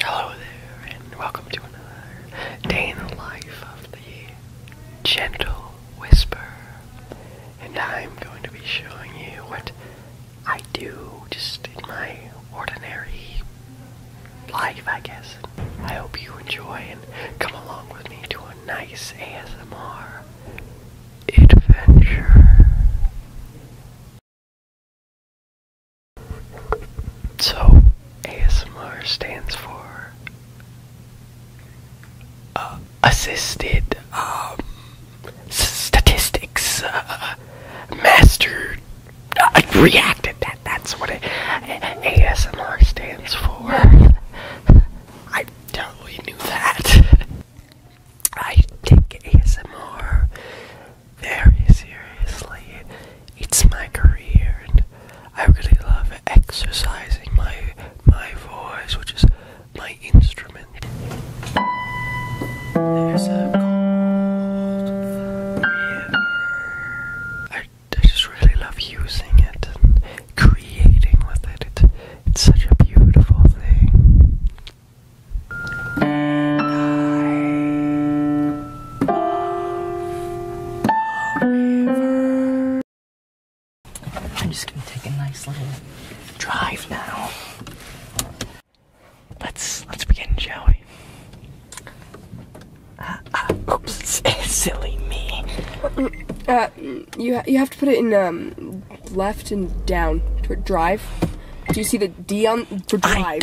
Hello there, and welcome to another day in the life of the Gentle Whisper. And I'm going to be showing you what I do just in my ordinary life, I guess. I hope you enjoy and come along with me to a nice ASMR adventure. So, ASMR stands for uh, Assisted um, Statistics uh, Mastered uh, Reacted. That, that's what it, ASMR stands for. I totally knew that. I take ASMR very seriously. It's my career, and I really love exercising my my voice, which is my instrument. There's a cold river. I, I just really love using it and creating with it it's such a beautiful thing. I'm just gonna take a nice little drive now. Let's let's begin, shall uh, uh, oops, silly me. Uh, you you have to put it in um, left and down. to Drive. Do you see the D on for drive?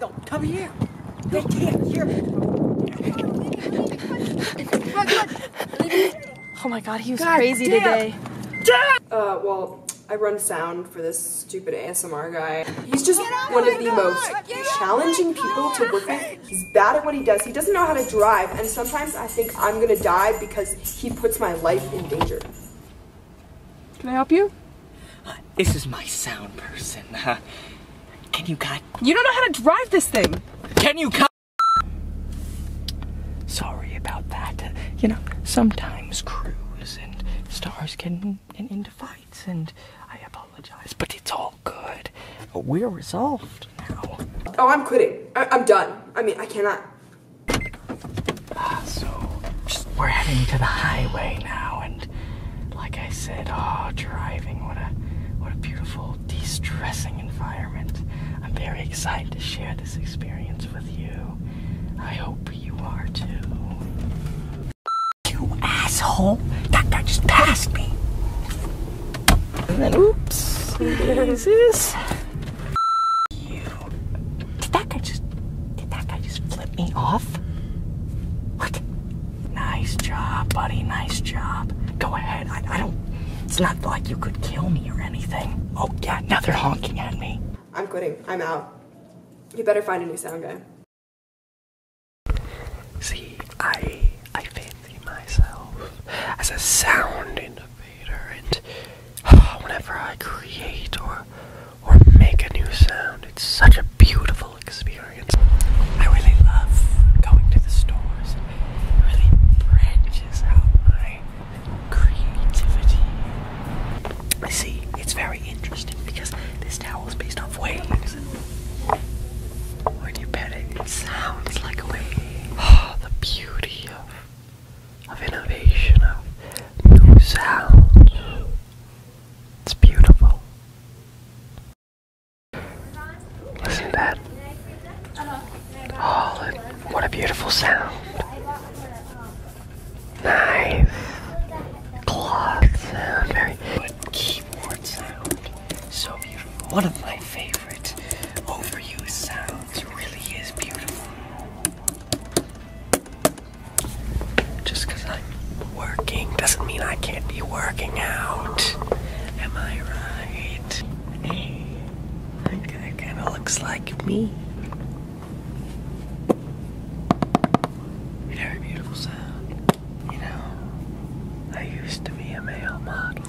No, come here. No, here, here. Run, run. Oh my god, he was crazy today. Damn. Uh, well, I run sound for this stupid ASMR guy. He's just one of the most challenging people to work with. He's bad at what he does. He doesn't know how to drive, and sometimes I think I'm gonna die because he puts my life in danger. Can I help you? This is my sound person. can you cut? You don't know how to drive this thing. Can you cut? Sorry about that. You know, sometimes crews and stars can get into fights, and I apologize, but it's all good. We're resolved now. Oh, I'm quitting. I am done. I mean, I cannot. Ah, so, we're heading to the highway now, and like I said, oh, driving, what a what a beautiful distressing environment. I'm very excited to share this experience with you. I hope you are too. You asshole! That guy just passed me. And then, oops. Is this? Did that guy just? Did that guy just flip me off? What? Nice job, buddy. Nice job. Go ahead. I, don't. It's not like you could kill me or anything. Oh, yeah, now they're honking at me. I'm quitting. I'm out. You better find a new sound guy. See, I I fancy myself as a sound innovator, and whenever I create or or make a new sound, it's such a beautiful experience. I See, it's very interesting because this towel is based off waves. When you pet it sounds like a wave. Oh, the beauty of, of innovation, of new sounds. It's beautiful. Listen to that. Oh, what a beautiful sound. Nice. Cloth very good keyboard sound. So beautiful. One of my favorite overused sounds really is beautiful. Just because i working doesn't mean I can't be working out. Am I right? Hey, guy kind of looks like me. Very beautiful sound. You know, I used to be a male model.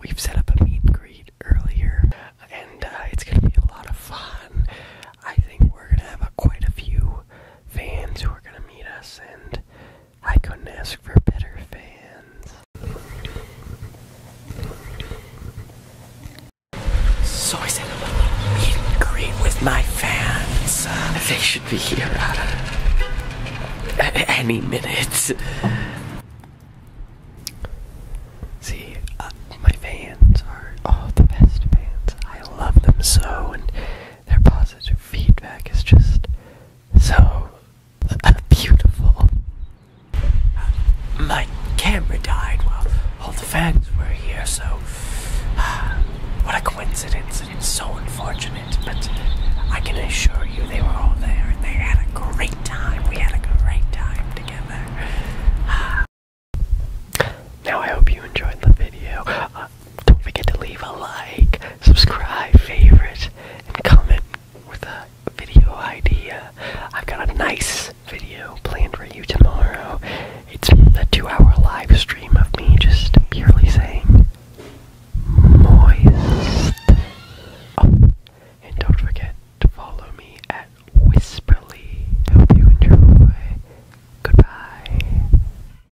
We've set up a meet and greet earlier, and uh, it's gonna be a lot of fun. I think we're gonna have quite a few fans who are going to meet us, and I couldn't ask for better fans. So I said, meet and greet with my fans. they should be here at any minute. See, uh, my fans are all oh, the best fans. I love them so, their positive feedback is just so beautiful. My camera died while all the fans were here, so what a coincidence. It's so unfortunate, but I can assure you they were all there and they had a great time. We had a great time together. Uh, now I hope you enjoyed the video. Uh, don't forget to leave a like, subscribe, favorite, and comment with a video idea. I've got a nice video planned for you tomorrow. It's the two hour live stream of me just purely saying moist. Oh, and don't forget to follow me at Whisperly. Hope you enjoy. Goodbye.